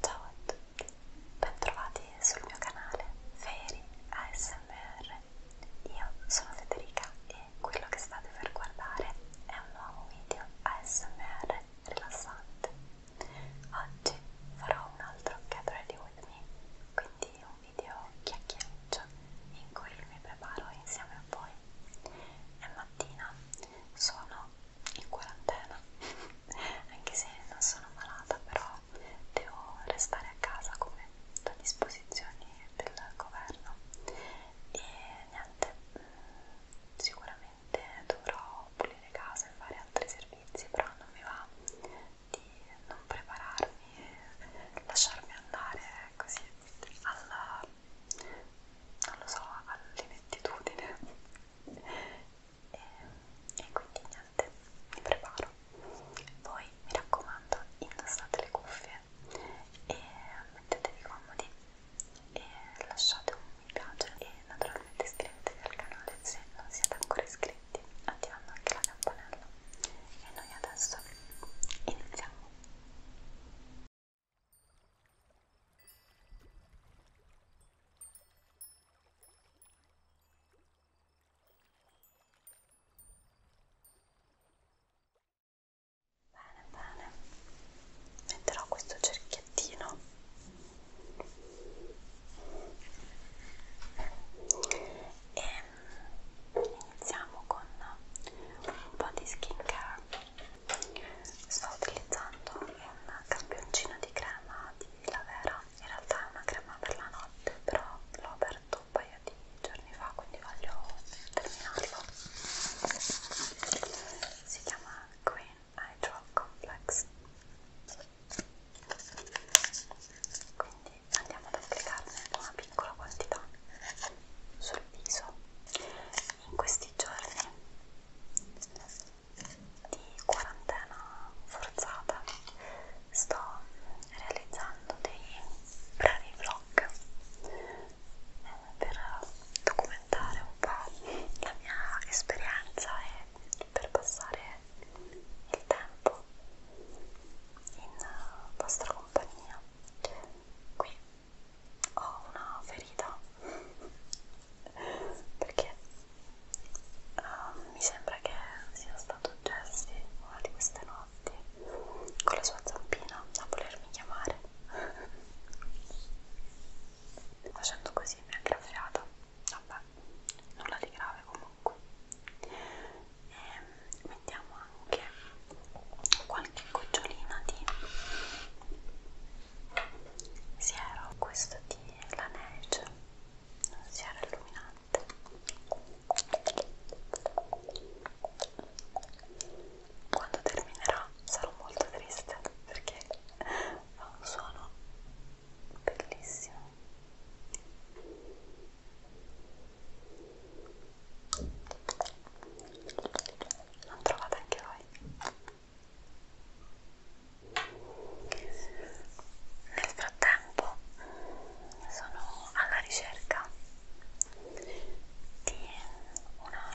Ciao a tutti, bentrovati sul mio canale Feri ASMR. Io sono Federica e quello che state per guardare è un nuovo video ASMR rilassante. Oggi farò un altro Get Ready With Me, quindi un video chiacchiericcio in cui mi preparo insieme a voi. È mattina, sono in quarantena anche se non sono malata però devo restare a casa come da disposizioni del governo e niente mm, sicuramente dovrò pulire casa e fare altri servizi però non mi va di non prepararmi e lasciarmi andare così alla non lo so all'inettitudine e, e quindi niente, mi preparo. Voi mi raccomando, indossate le cuffie e mettetevi comodi e lasciate un mi piace e naturalmente iscrivetevi al canale se non siete ancora iscritti, attivando anche la campanella. E noi adesso iniziamo. Bene, bene, metterò questo cerchiettino e mm, iniziamo con un po' di skincare sto utilizzando un campioncino di crema di Lavera in realtà è una crema per la notte però l'ho aperto un paio di giorni fa quindi voglio terminarlo si chiama Green Hydro Complex quindi andiamo ad applicarne una piccola quantità sul viso in questi giorni di quarantena forzata sto realizzando dei brevi vlog eh, per documentare un po' la mia esperienza e per passare il tempo in vostra compagnia qui ho una ferita perché um, mi sembra che sia stato Jesse una di queste notti con la sua zampina a volermi chiamare facendo così mi ha graffiata vabbè nulla di grave comunque e ehm, mettiamo anche qualche gocciolina di siero questo questo di La Neige, non si era illuminante quando terminerò sarò molto triste perché fa un suono bellissimo non trovate anche voi nel frattempo sono alla ricerca di una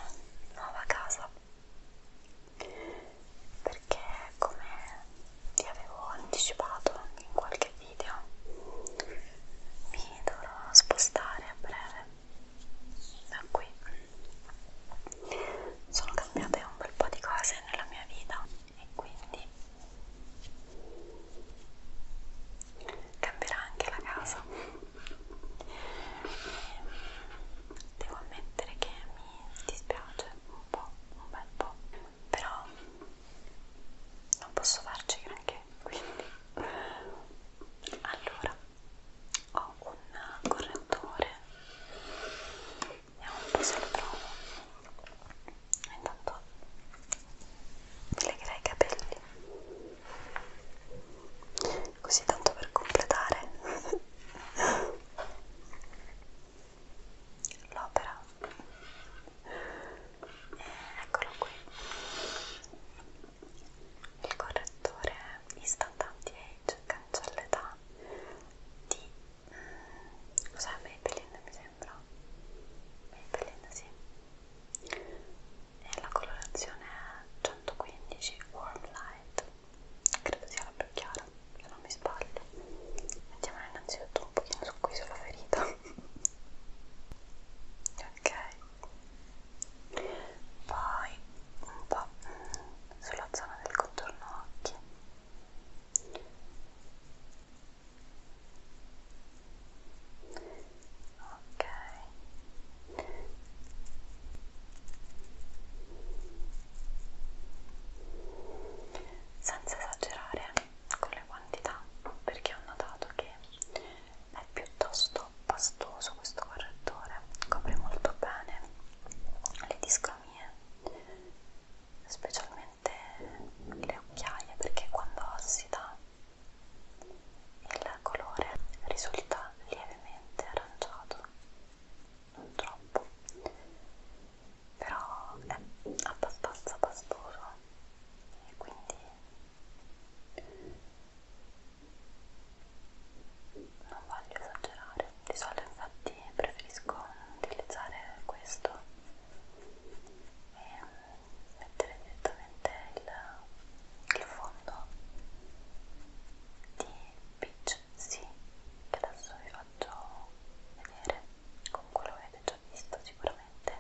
nuova casa perché come vi avevo anticipato in qualche video mi dovrò spostare a breve da qui sono cambiate un bel po' di cose nella mia vita e quindi cambierà anche la casa e devo ammettere che mi dispiace un po', un bel po' però non posso farci granché quindi allora ho un correttore vediamo un po' se lo trovo intanto legherei i capelli così tanto per completare l'opera eh, eccolo qui il correttore Instant Anti-Age cioè, penso all'età di mh, mm, cos'è Maybelline mi sembra Maybelline sì e la colorazione è 115 Warm Light credo sia la più chiara se non mi sbaglio mettiamola innanzitutto un pochino su qui sulla ferita ok poi un po' mm, sulla zona del contorno occhi ok senza esagerare con le quantità perché ho notato che è piuttosto pastoso questo correttore copre molto bene le discromie, specialmente le occhiaie, perché quando ossida il colore risulta lievemente aranciato, non troppo, però è abbastanza pastoso e quindi non voglio esagerare di solito infatti preferisco utilizzare questo e mettere direttamente il, il fondo di Peach Sea che adesso vi faccio vedere comunque lo avete già visto sicuramente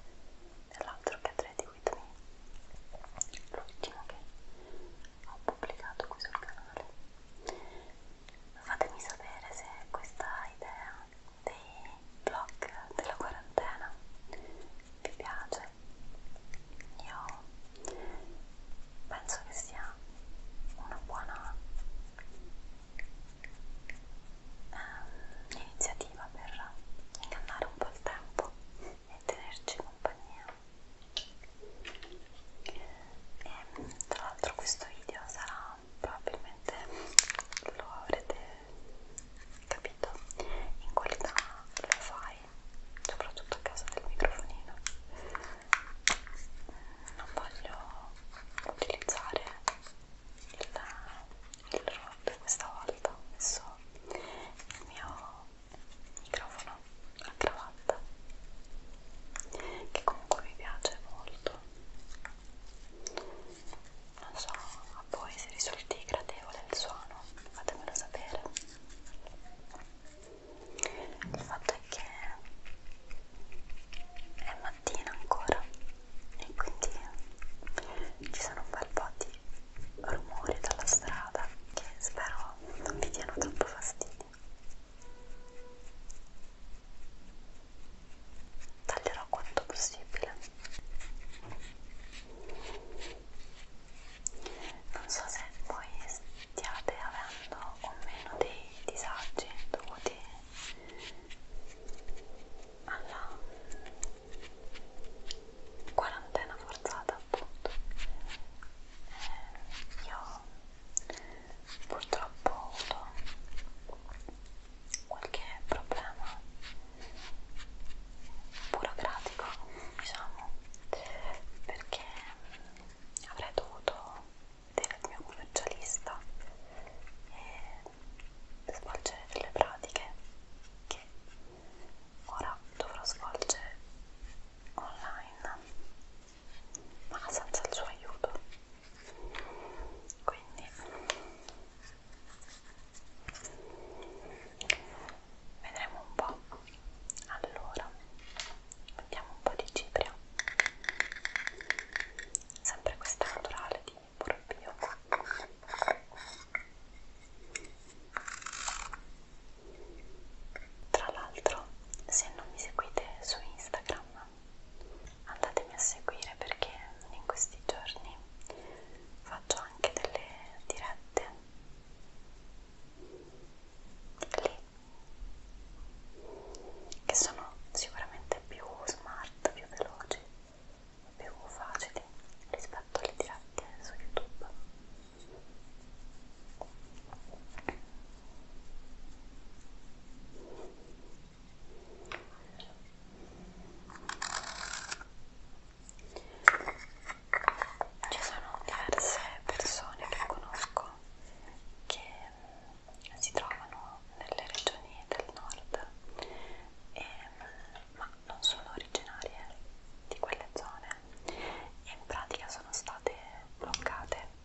nell'altro che 3 di Whitney l'ultimo che ho pubblicato qui sul canale fatemi sapere se questa idea dei vlog della quarantena vi piace io penso che sia una buona eh, iniziativa per ingannare un po' il tempo e tenerci compagnia e tra l'altro questo video sarà probabilmente lo avrete capito in qualità lo fai soprattutto a casa del microfonino non voglio utilizzare il, il rod questa volta ho messo il mio microfono a cravatta che comunque mi piace molto non so a voi se risulti gradevole il suono fatemelo sapere il fatto è che è mattina ancora e quindi ci sono un bel po' di rumori dalla strada che spero non vi diano troppo fastidio taglierò quanto possibile non so se voi stiate avendo o meno dei disagi dovuti alla quarantena forzata appunto eh, io purtroppo ho avuto qualche problema burocratico diciamo perché avrei dovuto vedere il mio commercialista e svolgere delle pratiche che ora dovrò svolgere online ma senza il suo aiuto quindi vedremo un po' allora mettiamo un po' di cipria sempre questa naturale di Borbio tra l'altro, se non mi seguite su Instagram, andatemi a seguire perché in questi giorni faccio anche delle dirette lì che sono sicuramente più smart, più veloci, più facili rispetto alle dirette su YouTube ci sono diverse persone che conosco che si trovano nelle regioni del nord, e, ma non sono originarie di quelle zone e in pratica sono state bloccate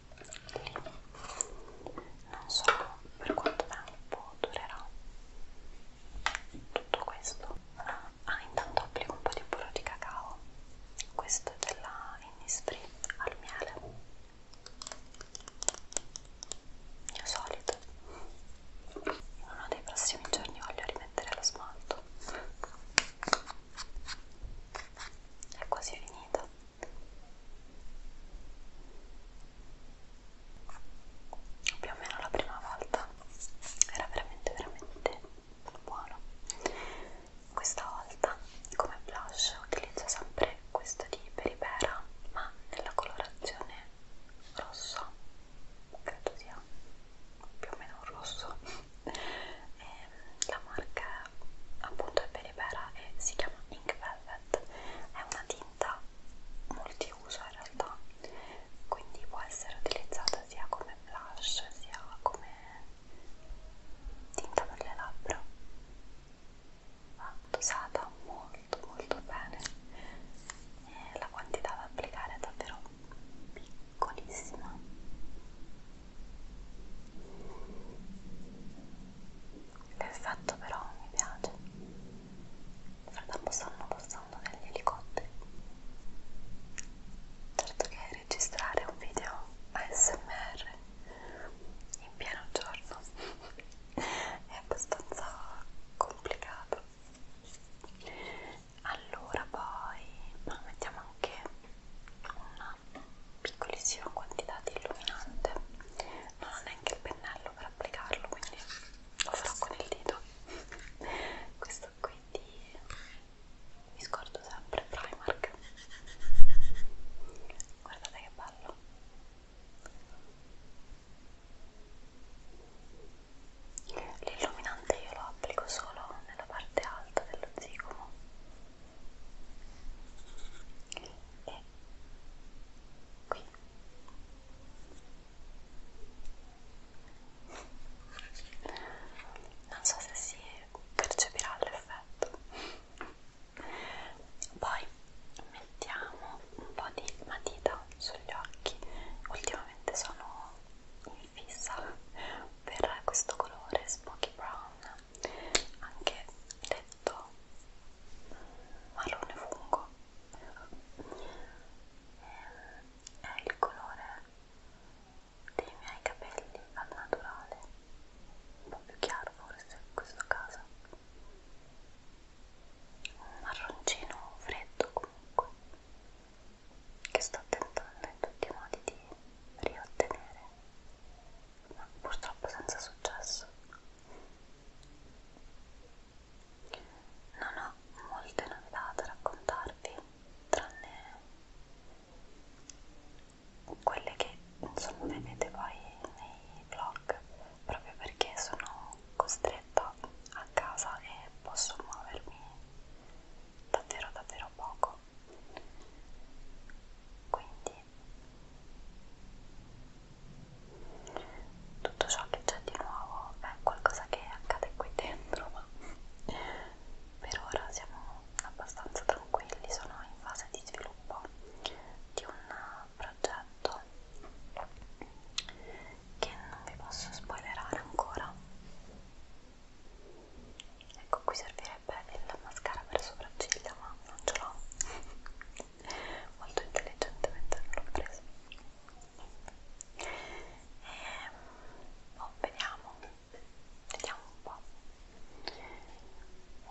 non so per quanto tempo durerà tutto questo ah intanto applico un po' di burro di cacao questo è della Innisfree al miele il mio solito in uno dei prossimi giorni voglio rimettere lo smalto è quasi finita più o meno la prima volta era veramente veramente buono questa volta come blush utilizzo sempre questo di Peripera ma nella colorazione rosso credo sia più o meno un rosso e ehm, la marca appunto è Belibera e si chiama Ink Velvet è una tinta multiuso in realtà quindi può essere utilizzata sia come blush sia come tinta per le labbra va dosata molto molto bene e la quantità da applicare è davvero piccola piccolissima l'effetto però mi piace nel frattempo stanno passando degli elicotteri certo che registrare un video ASMR in pieno giorno è abbastanza complicato allora poi mettiamo anche una una piccolissima quantità di illuminante non ho neanche il pennello per applicarlo quindi lo farò con il dito questo qui di mi scordo sempre Primark guardate che bello l'illuminante io lo applico solo nella parte alta dello zigomo e qui non so se si percepirà l'effetto poi mettiamo un po' di matita sugli occhi ultimamente sono in mi fissa per questo colore Smoky Brown anche detto marrone fungo è il colore dei miei capelli al naturale un po' più chiaro forse in questo caso un marroncino freddo comunque che sto tentando in tutti i modi di riottenere ma purtroppo senza successo. Non ho molte novità da raccontarvi, tranne quelle che insomma vedete poi nei vlog, proprio perché sono costretta a casa e posso muovermi davvero davvero poco quindi tutto ciò che c'è di nuovo è qualcosa che accade qui dentro ma per ora siamo abbastanza tranquilli sono in fase di sviluppo di un progetto che non vi posso spoilerare ancora ecco qui servirebbe sarebbe il mascara per sopracciglia ma non ce l'ho molto intelligentemente non l'ho preso e, ehm, boh, vediamo vediamo un po'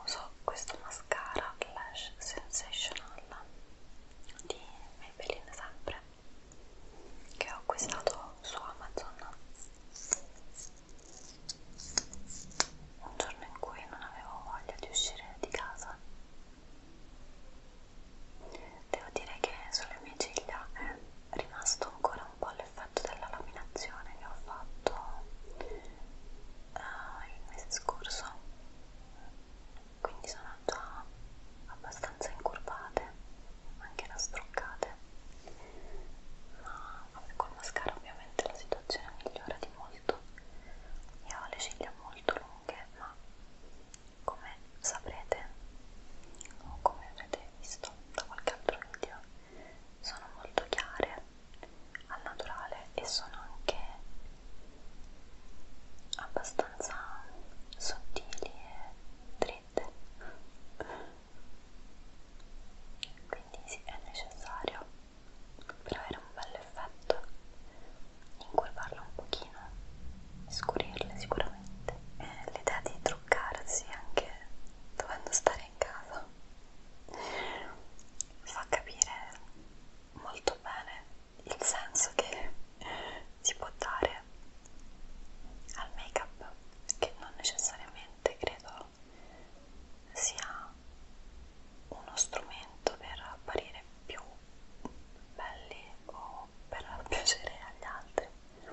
uso questo mascara Lash Sensational di Maybelline sempre che ho acquistato su Amazon un giorno in cui non avevo voglia di uscire di casa. Devo dire che sulle mie ciglia è rimasto ancora un po' l'effetto della laminazione che ho fatto uh, il mese scorso, quindi sono già abbastanza incurvate, anche da struccate, ma col mascara ovviamente la situazione migliora di molto io ho le ciglia molto lunghe ma come saprete o come avrete visto da qualche altro video sono molto chiare al naturale e sono anche abbastanza sottili e dritte quindi sì, è necessario per avere un bel effetto incurvarla un pochino scurirle sicuramente e l'idea di truccarsi anche dovendo stare in casa fa capire molto bene il senso che si può dare al make up che non necessariamente veramente credo sia uno strumento per apparire più belli o per piacere agli altri eh,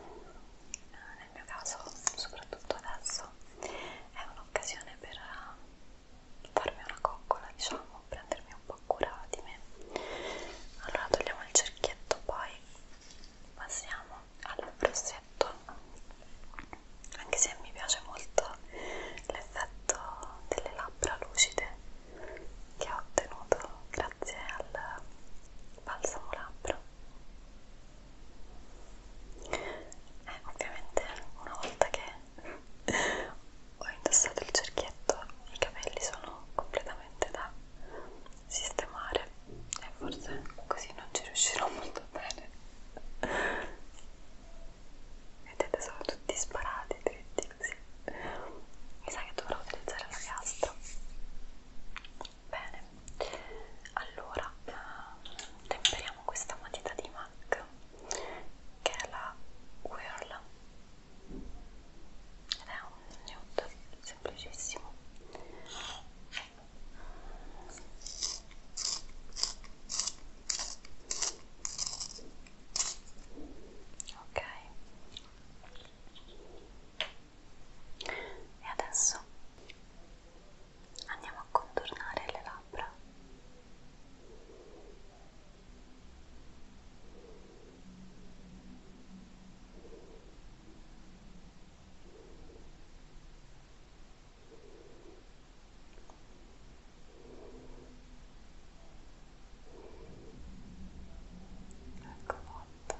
nel mio caso soprattutto adesso è un'occasione per farmi una coccola diciamo prendermi un po' cura di me allora togliamo il cerchietto poi passiamo al rossetto anche se mi piace molto l'effetto delle labbra lucide che ho ottenuto grazie al balsamo labbra eh, ovviamente una volta che ho indossato il cerchietto i capelli sono completamente da sistemare e forse così non ci riuscirò molto bene vedete sono tutti sparati dritti così mi sa che dovrò utilizzare la piastra bene allora ehm, temperiamo questa matita di MAC che è la Whirl ed è un nude semplicissimo ok e adesso andiamo a contornare le labbra Ecco fatto.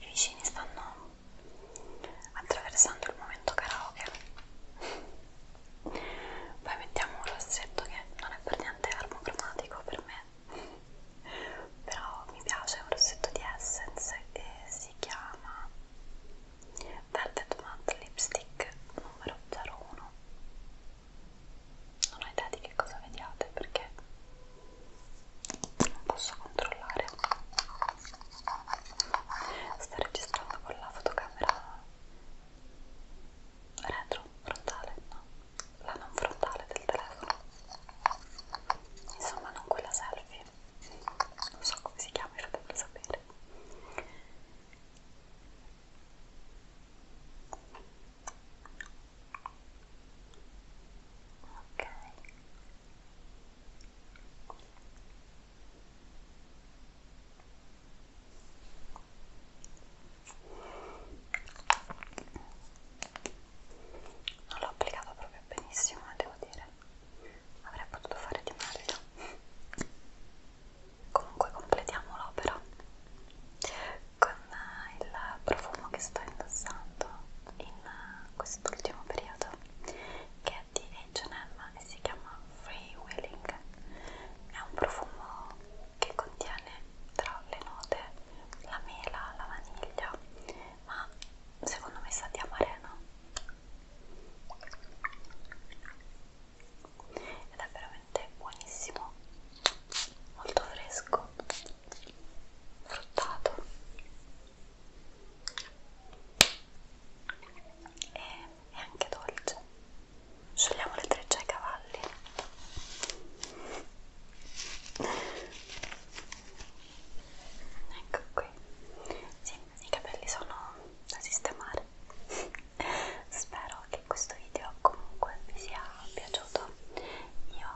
I vicini stanno attraversando il momento karaoke. Poi mettiamo un rossetto che non è per niente armocromatico per me però mi piace, è un rossetto di Essence e si chiama Velvet Matte Lipstick numero 01 non ho idea di che cosa vediate perché non posso controllare sto registrando con la fotocamera retro, frontale, no, la non frontale del telefono insomma non quella selfie non so come si chiama, fate per sapere ok non l'ho applicato proprio benissimo eh, devo dire avrei potuto fare di meglio comunque completiamo l'opera con eh, il profumo che sto indossando in eh, quest'ultimo periodo che è di H&M e si chiama Free Willing è un profumo che contiene tra le note la mela, la vaniglia, ma secondo me sa di amarena ed è veramente buonissimo, molto fresco, fruttato e, e anche dolce Sciogliamo le trecce ai cavalli. Ecco qui. Sì, i capelli sono da sistemare. Spero che questo video comunque vi sia piaciuto. Io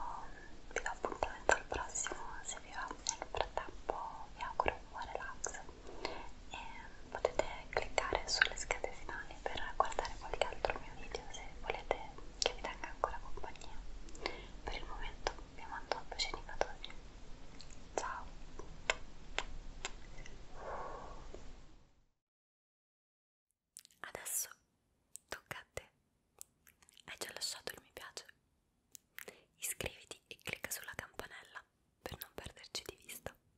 vi do appuntamento al prossimo se vi va. Nel frattempo vi auguro un buon relax e potete cliccare sulle schede finali per guardare qualche altro mio video se volete che vi tenga ancora compagnia. Per il momento vi mando un bacino battoni. Ciao! Adesso tocca a te. Hai già lasciato il mi piace? Iscriviti e clicca sulla campanella per non perderci di vista